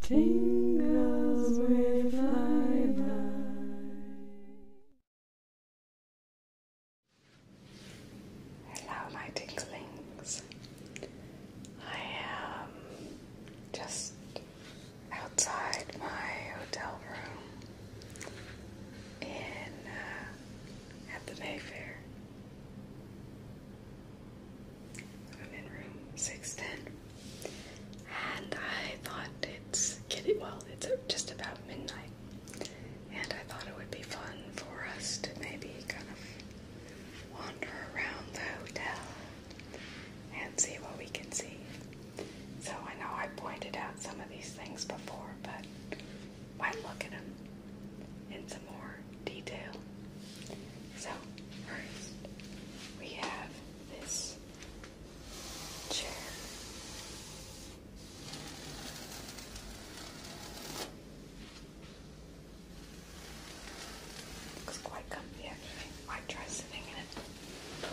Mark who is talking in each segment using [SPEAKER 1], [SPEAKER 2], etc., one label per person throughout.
[SPEAKER 1] Tingles with Hello, my tinglings. I am just outside my hotel room in uh, at the Mayfair. I'm in room 610. And I thought it's getting, well, it's just about midnight. And I thought it would be fun for us to maybe kind of wander around the hotel and see what we can see. So I know I pointed out some of these things before, but might look at them and more detail. So, first, we have this chair. Looks quite comfy actually. Might try sitting in it.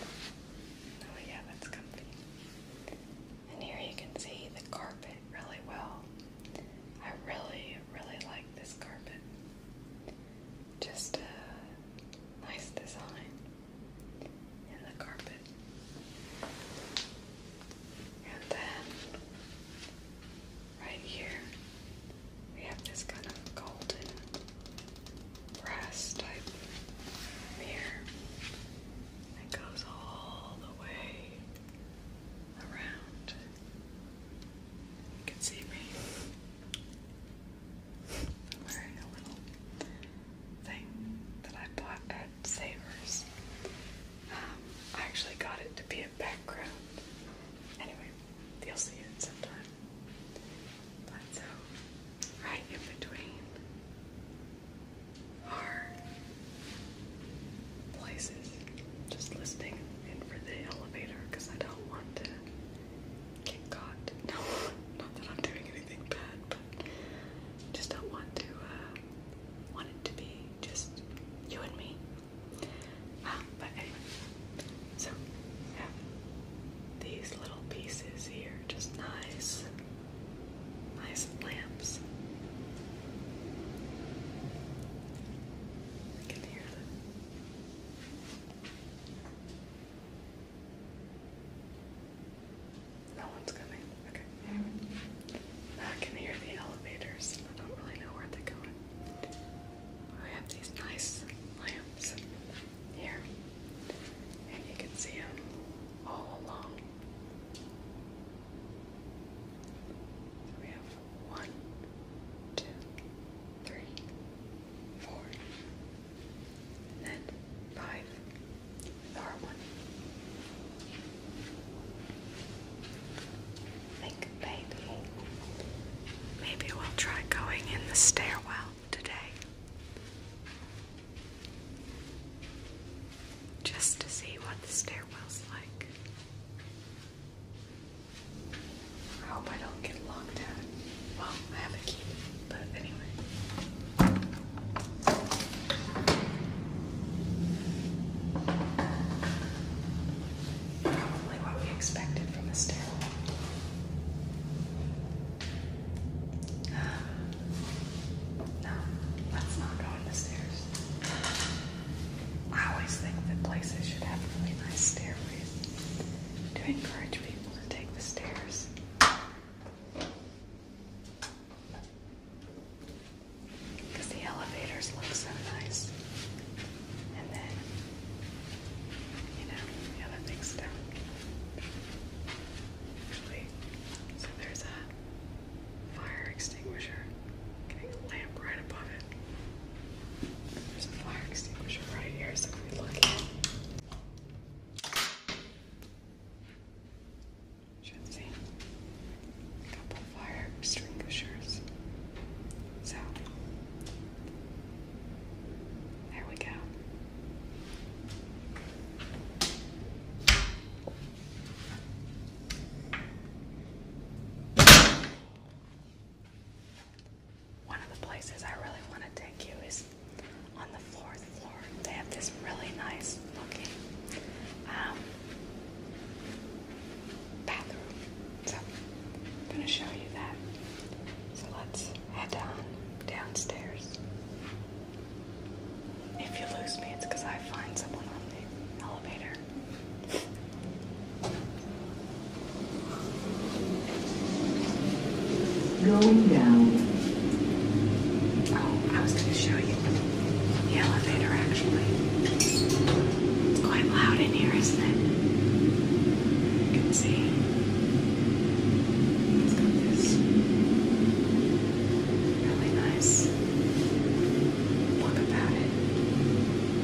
[SPEAKER 1] Oh yeah, that's comfy. And here you can see the carpet really well. I really, really like this carpet. Just a nice design in the carpet. And then right here we have this kind of golden brass type mirror that goes all the way around you can see me wearing a little thing that I bought at Savers. Um, I actually got it to be a background. Anyway, you'll see it sometime. But so, right in between are places. Just listening in for the elevator because I don't want to get caught. No, not that I'm doing anything bad, but just don't want to. Uh, want it to be just you and me. Um, but so these little pieces here, just nice, nice lamps. I can hear them. No one's coming. Okay. I can hear the elevators. I don't really know where they're going. We have these nice lamps here, and you can see them all along. One, two, three, four, and then five, star one. think maybe, maybe we'll try going in the stairwell today. Just to see what the stairwell's like. I hope I don't get locked out. Well, I have a key, but anyway. Probably what we expected from a stairwell. no, let's not go on the stairs. I always think that places should have really nice stairways to encourage people to take the stairs. Because the elevators look so nice. And then, you know, the other big stuff. Actually, so there's a fire extinguisher. Getting lamp right above it. There's a fire extinguisher right here, so if we look in, should see a couple fire extinguishers. So, there we go. One of the places I really want to take you is on the fourth floor. They have this really nice looking um, bathroom. So I'm going to show you that. So let's head down downstairs. If you lose me, it's because I find someone on the elevator. Going down. Oh, I was going to show you the elevator actually. It's quite loud in here, isn't it? You can see. it really nice look about it.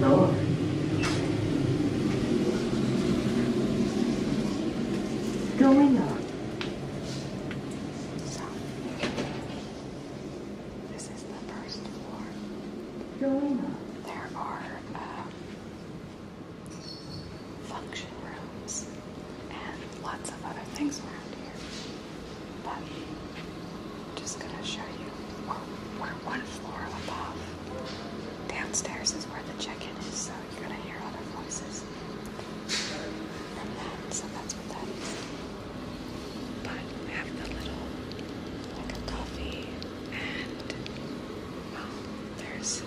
[SPEAKER 1] no. Going up. So, this is the first floor. Going up. There are uh, function rooms and lots of other things around here. But I'm just gonna show you. we we're one floor above. Downstairs is where the check-in is, so you're gonna hear other voices from that's what that is. But we have the little like a coffee and um, there's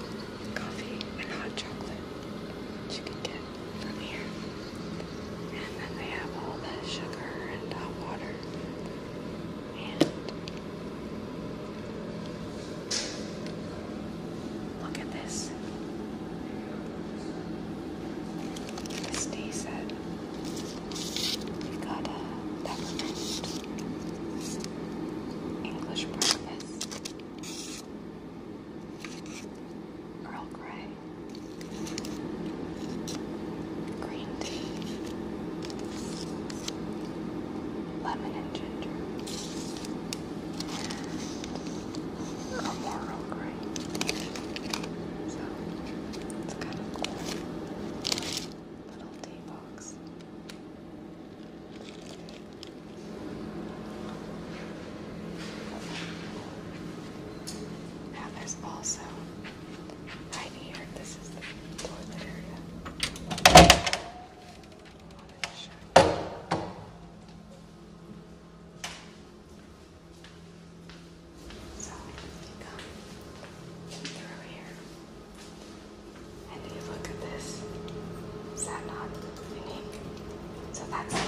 [SPEAKER 1] coffee and hot chocolate that you can get from here. And then they have all the sugar and hot water look at this. This tea set. We've got a peppermint English breakfast. Earl Grey green tea, lemon and ginger, and a moral So it's kind of cool little tea box. Now there's also Right here, this is the toilet area. So you come through here, and you look at this. Is that not unique? So that's.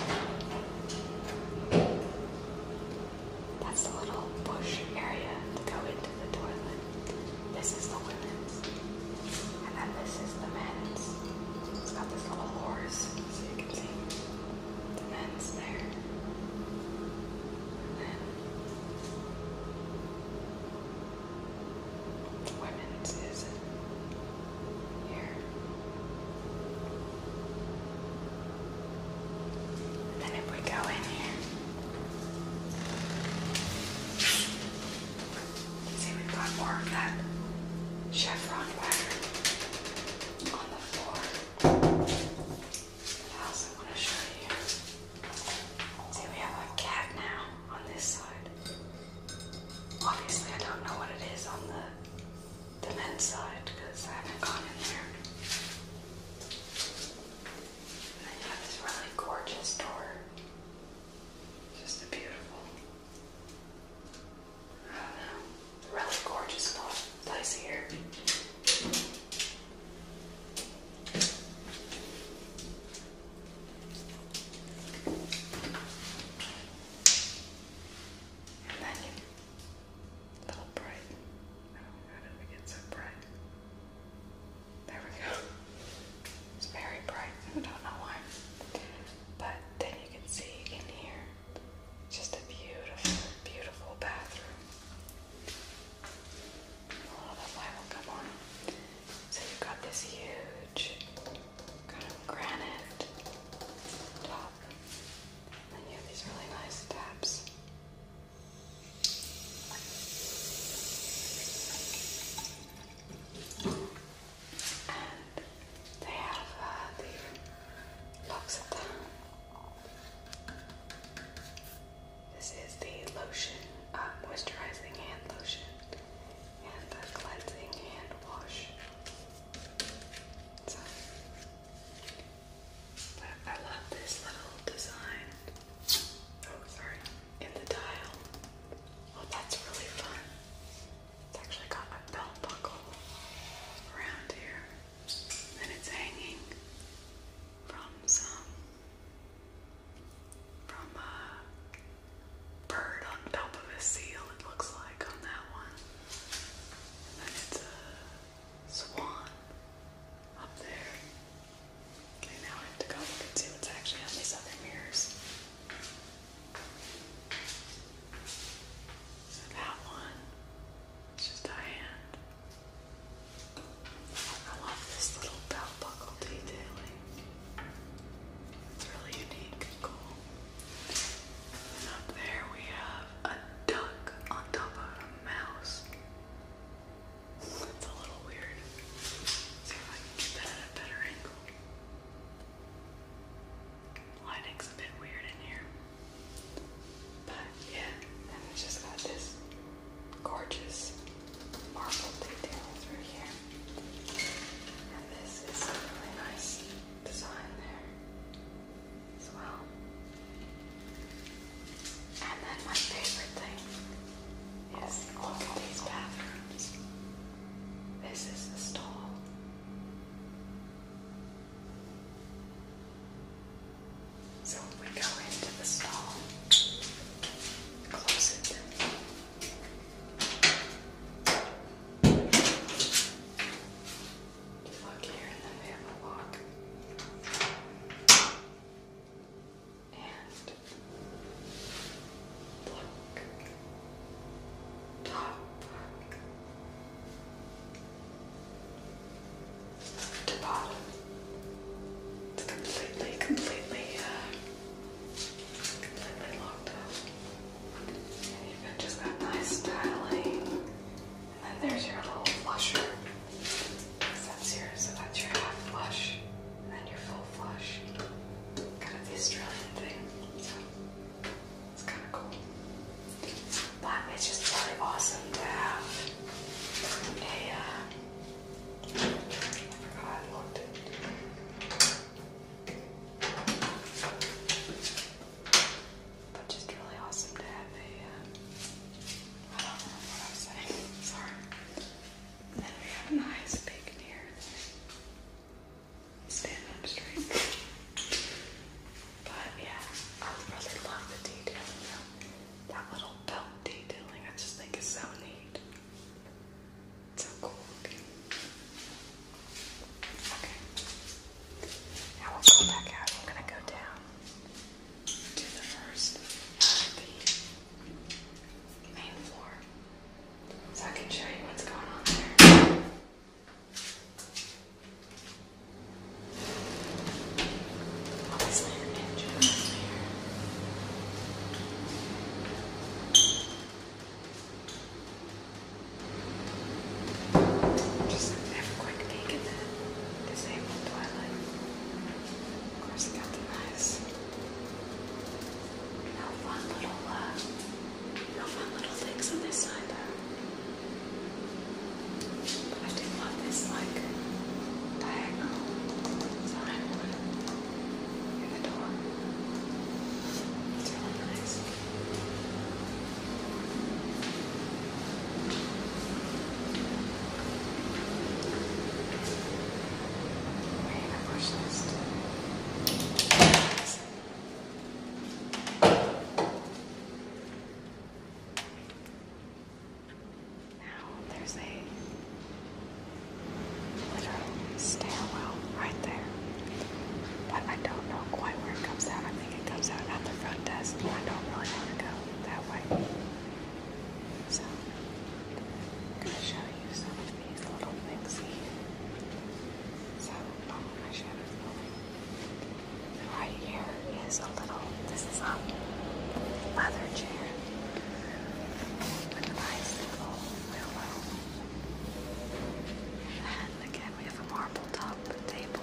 [SPEAKER 1] That's the little bush area to go into the toilet. This is the women's. And then this is the men's. It's got this little horse, so you can see the men's there. then the women's is here. And then if we go in here, see we've got more of that chevron pattern on the floor. I also want to show you. See, we have a cat now on this side. Obviously, I don't know what it is on the the men's side because I haven't gone in there. then you have this really gorgeous door. Just a beautiful, I don't know, really gorgeous little place here. and then you little bright how did we get so bright? There we go. It's very bright. I don't know why. But then you can see in here just a beautiful, beautiful bathroom. A of that light will come on. So you've got this huge kind of granite top. And you have these really nice taps they have uh, the L'Occitane. This is the lotion, uh, moisturizing hand lotion, and the cleansing hand wash. So, I love this little design. Oh, sorry. In the dial. Oh, that's really fun. It's actually got a belt buckle around here. And it's hanging from some from a bird on top of a seal, it looks like on that one. And it's swan up there. Okay, now I have to go look and see what's actually on these other mirrors. So that one, it's just a hand. I love this little belt buckle detailing. It's really unique and cool. And up there we have a duck on top of mouse. That's a little weird. Lighting's a bit weird in here. But yeah, and just got this gorgeous marble detail through here. And this is a really nice design there as well. And then my favorite thing is all of these bathrooms. This is the stall. So we go into the stall, close it look here in the family log. And look top to bottom. It's completely, completely, completely locked up. And have got just got nice styling and then there's your little flusher. so that's your half flush, and then your full flush. Kind of the Australian thing. So it's kind of cool. But it's just really awesome to have a, uh, I forgot but just really awesome to have a. Um, don't remember what I was saying. Sorry. And then we got a nice big deer. Standing up straight. But yeah, I really love the detailing That little belt detailing, I just think is so neat. It's so cool. Okay. Now we'll go back out. I'm gonna go down to the first uh, the main floor. So I can show you what's going on there. Obviously an engine right there. Just have a quick peek at the disabled toilet. Of course, it got the nice, no fun little, uh, no fun little things on this side though. But I do love this like diagonal sign in the door. It's really nice. There's a Stairwell right there, but I don't know quite where it comes out don't think it comes out at the front desk, and I don't really want to go that way. So, I'm going to show you some of these little things here. So, not on my shadow filling. Right here is a little, this is a leather chair with a nice little pillow. And again, we have a marble top table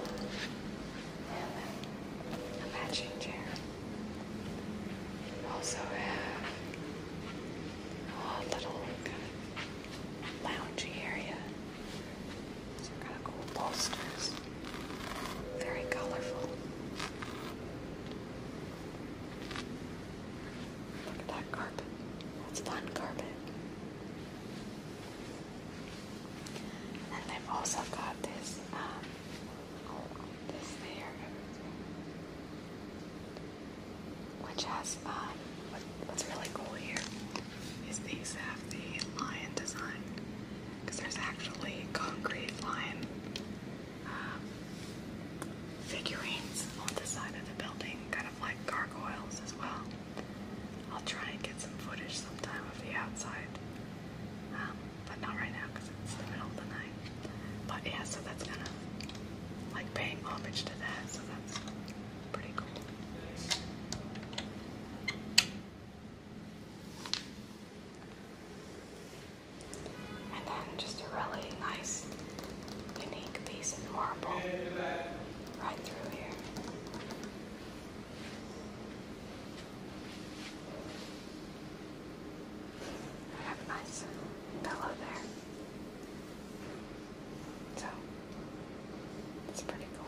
[SPEAKER 1] a matching chair. Also have a little kind area. Some kind of cool bolsters. Very colorful. Look at that carpet. That's fun carpet. And they've also got this, um, this there, which has, um, what's really cool here is these have the lion design, because there's actually concrete lion um, figurines on the side of the building, kind of like gargoyles as well. I'll try and get some footage sometime of the outside, um, but not right now because it's the middle of the night. But yeah, so that's kind of like paying homage to that, so that's pretty cool. And then just a really nice, unique piece of marble right through here have a nice pillow there. So, it's pretty cool.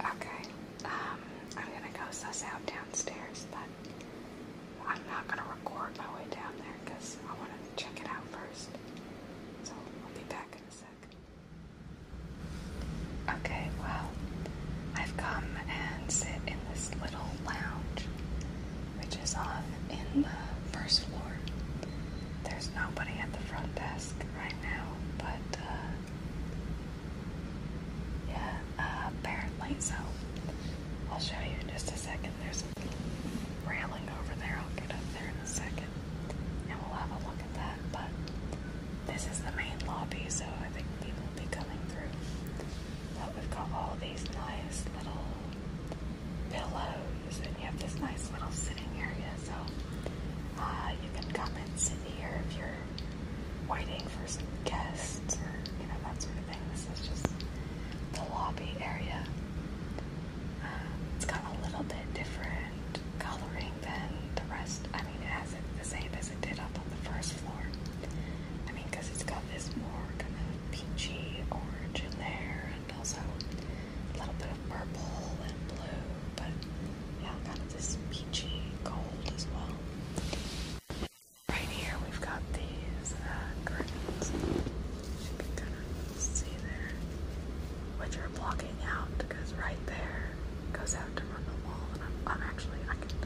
[SPEAKER 1] Okay, um, I'm gonna go suss out downstairs, but I'm not going to record my way down there because I want to check it out first. So I'll be back in a sec. Okay, well, I've come and sit in this little lounge, which is on in the first floor. There's nobody at the front desk right now, but uh, yeah, apparently so. I'll show you in just a second. There's a railing over there. I'll get up there in a second and we'll have a look at that. But this is the main lobby, so I think people will be coming through. But we've got all these nice little pillows, and you have this nice little sitting area. So uh, you can come and sit here if you're waiting for some guests or, you know, that sort of thing. This is just the lobby area. Um, it's got a little bit different coloring than the rest. I mean, it has it the same as it did up on the first floor. I mean, because it's got this more kind of peachy orange in there and also a little bit of purple and blue, but yeah, kind of this peachy gold as well. Right here we've got these uh, curtains, you can kind of see there, which are blocking out because right there goes out to run the wall and I'm, actually, I can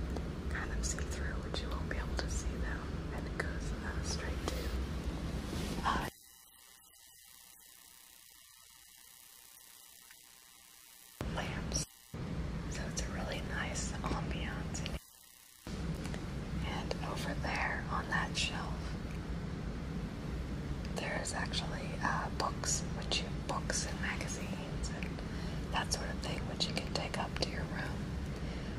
[SPEAKER 1] kind of see through which you won't be able to see them and it goes uh, straight to uh, lamps. So it's a really nice ambiance. And over there on that shelf, there's actually uh, books, which you books and magazines and that sort of thing, which you can take up to your room.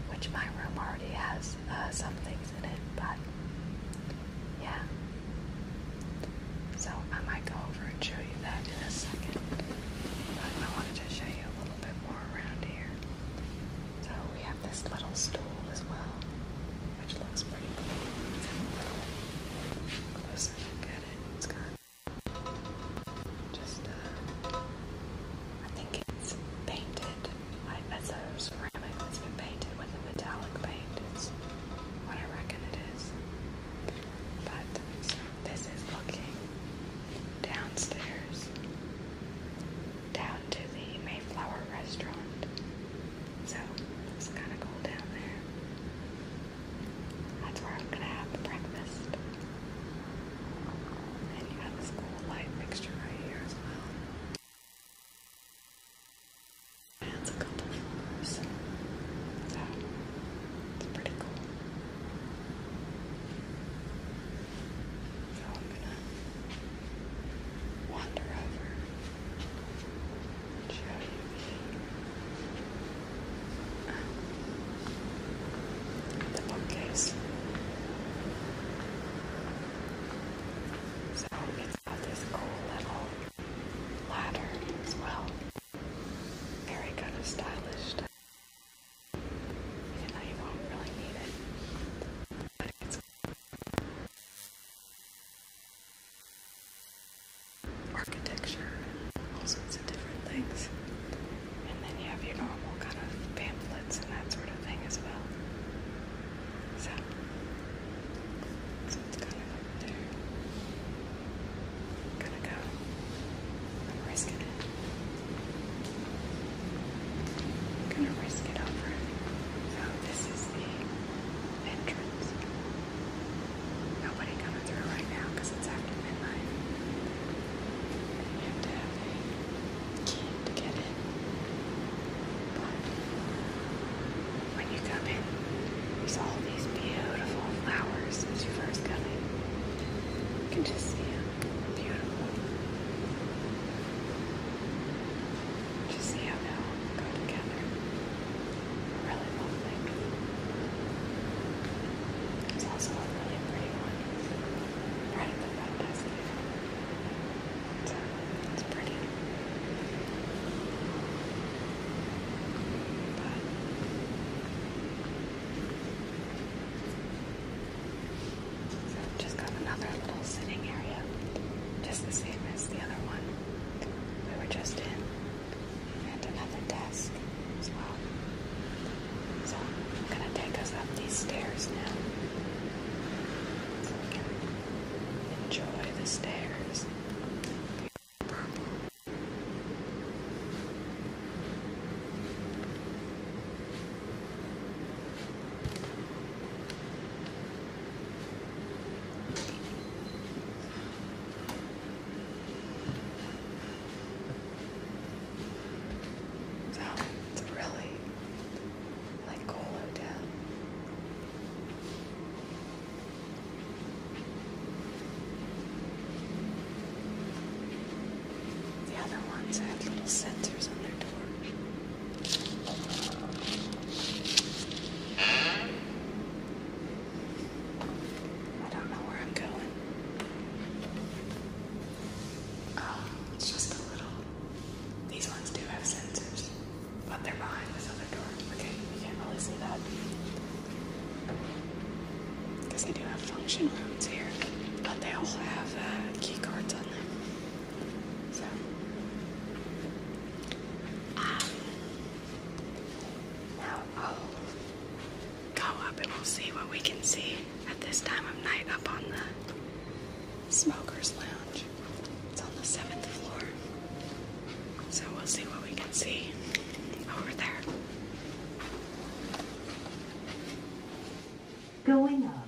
[SPEAKER 1] Which my room already has uh, some things in it, but yeah. So I might go over and show you that in a second. I wanted to show you a little bit more around here. So we have this little stool as well, which looks pretty closer look at it. It's got just, uh, I think it's painted. that's a ceramic has been painted with a metallic paint. It's what I reckon it is. But it's this is looking downstairs, down to the Mayflower restaurant. So it's kind of cool down there. That's where I'm gonna have breakfast. And you got this cool light fixture right here as well. it's a couple floors, so it's pretty cool. So I'm gonna wander over show you the bookcase. So it's got this cool little ladder as well. Very kind of stylish. Even though you won't really need it. But it's architecture all sorts of different things. And then you have your normal kind of pamphlets and that sort of thing as well. So, it's kind of there. I'm gonna go. I'm risking it. I'm gonna risk it over. So this is the entrance. Nobody coming through right now because it's after midnight. You have to have But when you come in, we saw all these beautiful flowers as you first come in. You can just see them. beautiful. Just see how they go together. Really lovely. There's also a really pretty one right at the front desk. So it's pretty. But just got another little sitting area, just the same as the other one we were just in, and another desk as well. So I'm gonna take us up these stairs now, so we can enjoy the stairs. So it's really like cooler down. The other ones have little sensors on their I don't know where I'm going. Oh, it's just a little. These ones do have sensors, but they're behind this other door. Okay, you can't really see that. Because they do have function rooms here, but they all have uh, key cards on them. So, um, go up and we'll see what we can see at this time of night up on the smoker's lounge. It's on the seventh floor. So we'll see what we can see over there. Going up.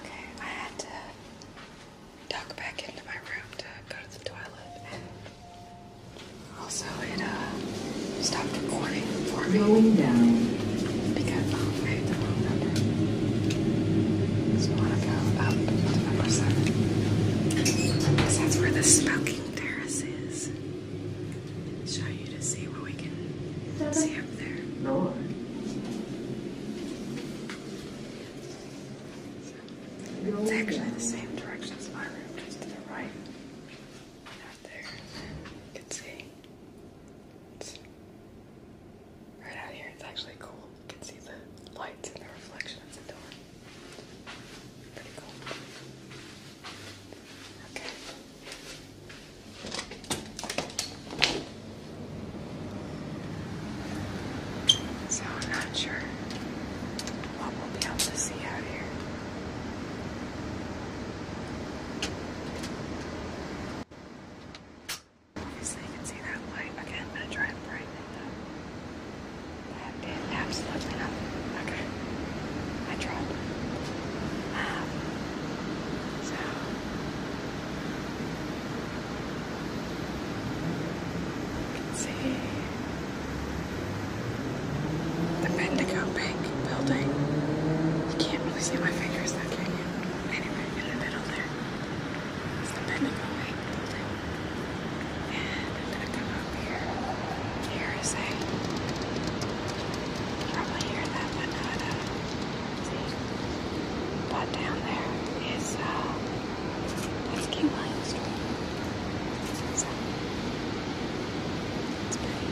[SPEAKER 1] Okay, I had to duck back into my room to go to the toilet. And also, it uh, stopped recording for me. Going down. Because um, I hit the wrong number. So I want to go up to number seven. Because that's where the smoky terraces. Show you to see what we can see up there. No. It's actually the same direction as my room, just to the right. Out there. You can see. right out here. It's actually cool. You can see the lights and the reflection of the door. So I'm not sure what we'll be able to see out here. Obviously you can see that light. Okay, I'm gonna try and brighten it up. That did absolutely nothing. Okay. I tried. Um, so. see the Bendigo Bank building. You can't really see my fingers can you? Anyway, in the middle there is the Bendigo Bank. And I'm gonna come up here. Here is a you probably hear that but not uh see. But down there is uh that's King Lion Street. So it's pretty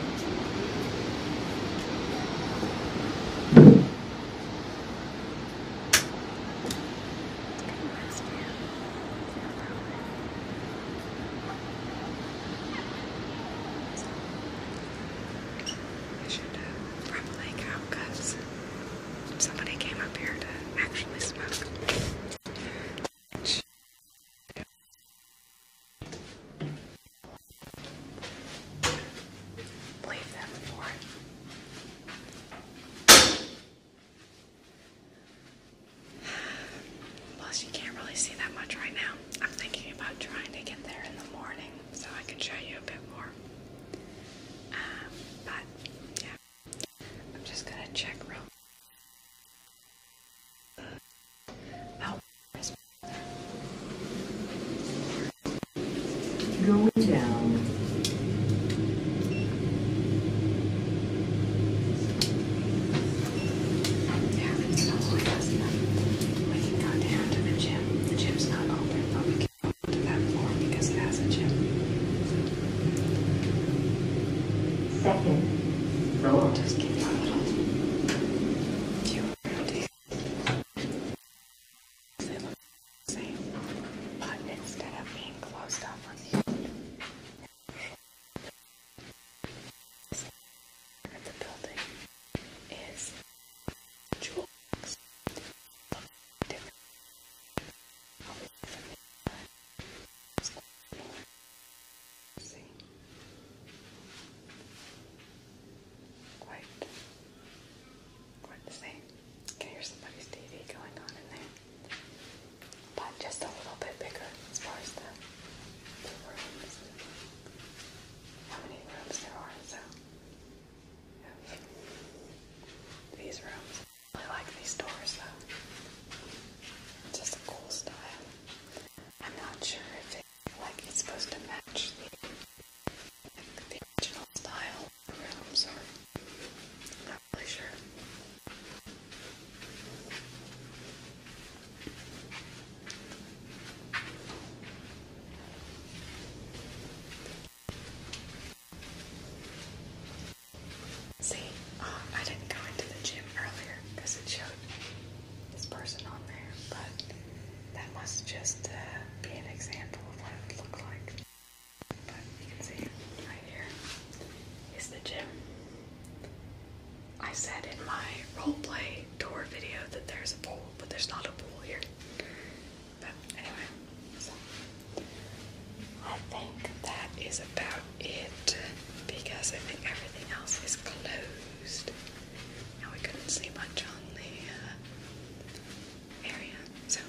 [SPEAKER 1] I should uh, probably cow cuts. Somebody came up here to actually smoke. Leave them for it. Plus, you can't really see that much right now. I'm thinking about trying to get there in the morning so I can show you a bit more. Um, but, yeah. I'm just gonna check real oh, Going down. Yeah, it's not like us We can go down to the gym. The gym's not open, but we can go to that floor because it has a gym. Second floor. Just give you a little few they look the same, but instead of being closed off from you, of the building is jewels of different see quite quite the same. I can hear somebody's TV going on in there. But just a little bit bigger as far as the, the rooms. How many rooms there are, so. These rooms. I like these doors though. Just a cool style. I'm not sure if like it's supposed to match like, the original style rooms or I See, um, I didn't go into the gym earlier because it showed this person on there, but that must just uh, be an example of what it would like. But you can see right here is the gym. I said in my role play tour video that there's a pool, but there's not a pool here. But anyway, so I think that is about it because I think everything else is closed. Now we couldn't see much on the uh, area, so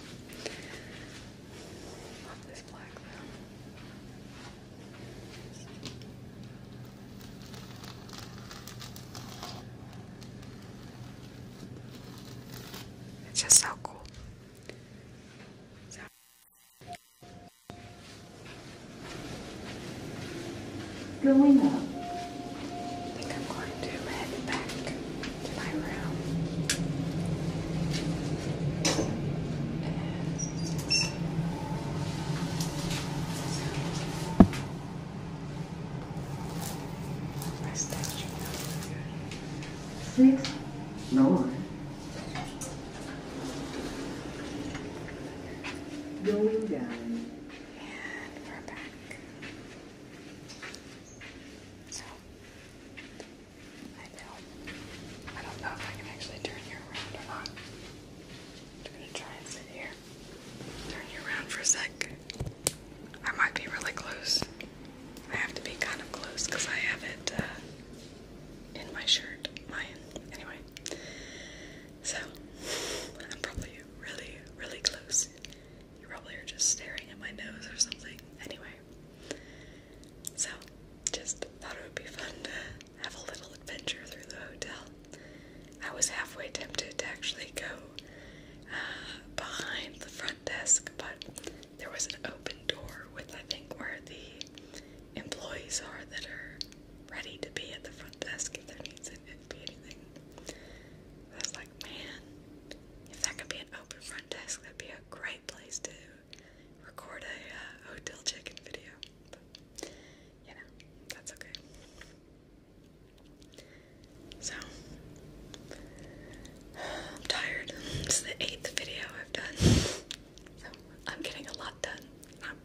[SPEAKER 1] it's just so cool. Going up. I think I'm going to head back my room. Where's Six? No. Going down. And we're back. So, know. I don't know if I can actually turn you around or not. I'm gonna try and sit here. Turn you around for a sec. I might be really close. I have to be kind of close because I have it uh, in my shirt. Mine. Anyway. So, I'm probably really, really close. You probably are just staring at my nose or something. Anyway, so, just thought it would be fun to have a little adventure through the hotel. I was halfway tempted to actually go uh, behind the front desk, but there was an open door with, I think, where the employees are that are ready to be at the front desk if there needs to be anything. I was like, man, if that could be an open front desk, that'd be a great place to record a uh, hotel check-in video, you know that's okay. So I'm tired. It's the eighth video I've done, so I'm getting a lot done. I'm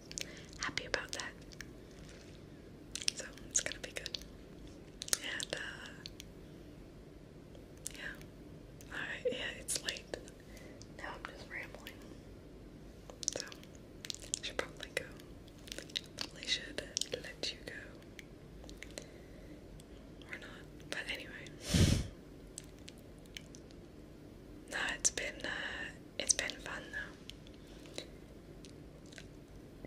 [SPEAKER 1] happy about that. So it's gonna be good. Uh, yeah. yeah, it's late. Now I'm just rambling. So, I should probably go. Probably should let you go. Or not. But anyway. No, it's been uh, it's been fun though.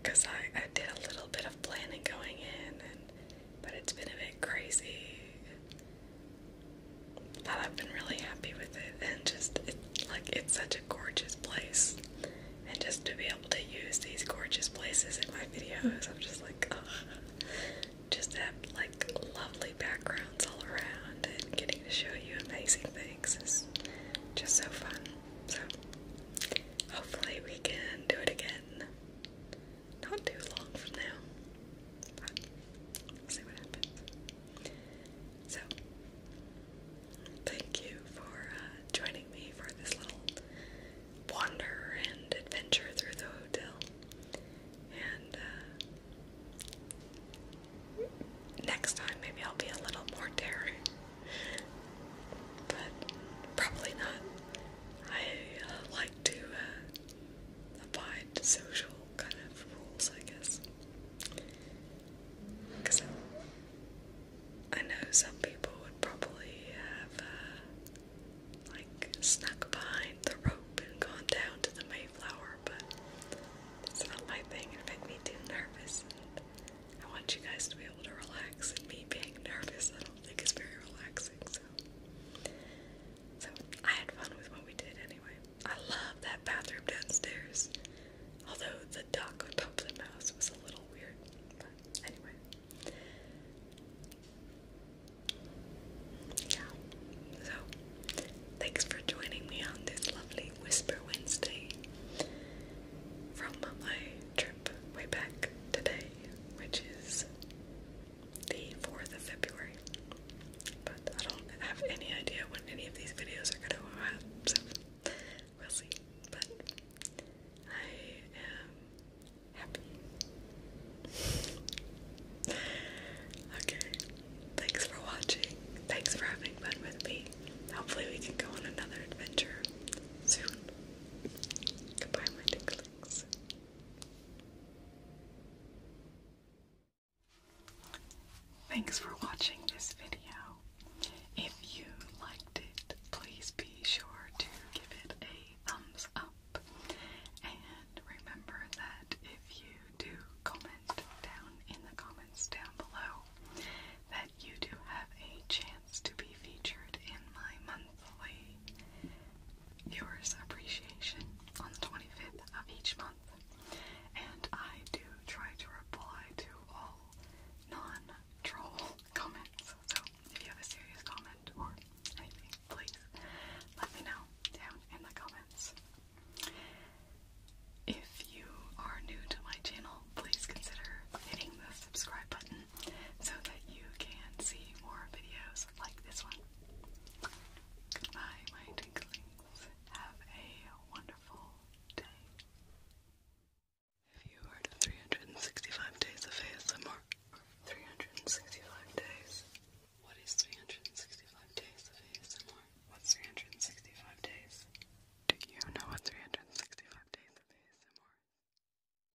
[SPEAKER 1] Cause I, I did a little bit of planning going in and but it's been a bit crazy. But I've been really happy with it, and just like it's such a gorgeous place, and just to be able to use these gorgeous places in my videos, I'm just like, ugh. just have like lovely backgrounds all around, and getting to show you amazing things is just so fun. So hopefully we can do it again not too long from now. see what happens. So, thank you for uh, joining me for this little wander and adventure through the hotel. And uh, next time, maybe I'll be a little more daring. But probably not. I uh, like to uh, abide social kind of rules, I guess. Because I, know some people would probably have, uh, like, snuck behind the rope and gone down to the Mayflower, but it's not my thing. It makes me too nervous. And I want you guys to be able to relax, and me being nervous, I don't think is very relaxing so I had fun with what we did anyway. I love that bathroom downstairs. Although the duck, on top of the mouse was a little weird. But anyway. Yeah. So thanks for joining me on this lovely Whisper Wednesday from my trip way back today, which is the 4th of February. But I don't have any idea when any of these videos are going to go out, so we'll see. But I am happy. okay, thanks for watching. Thanks for having fun with me. Hopefully, we can go on another adventure soon. Goodbye, my tinklings. Thanks for watching this video. If you liked it, please be sure to give it a thumbs up. And remember that if you do comment down in the comments down below, that you do have a chance to be featured in my monthly viewers appreciation on the 25th of each month. And I do try to reply to all non-troll comments. So if you have a serious comment or anything, please let me know down in the comments. If you are new to my channel, please consider hitting the subscribe button so that you can see more videos like this one. Goodbye, my tinklings. Have a wonderful day. If you heard of 365 days of ASMR, 365 days. What is 365 days of ASMR? What's 365 days? Do you know what 365 days of ASMR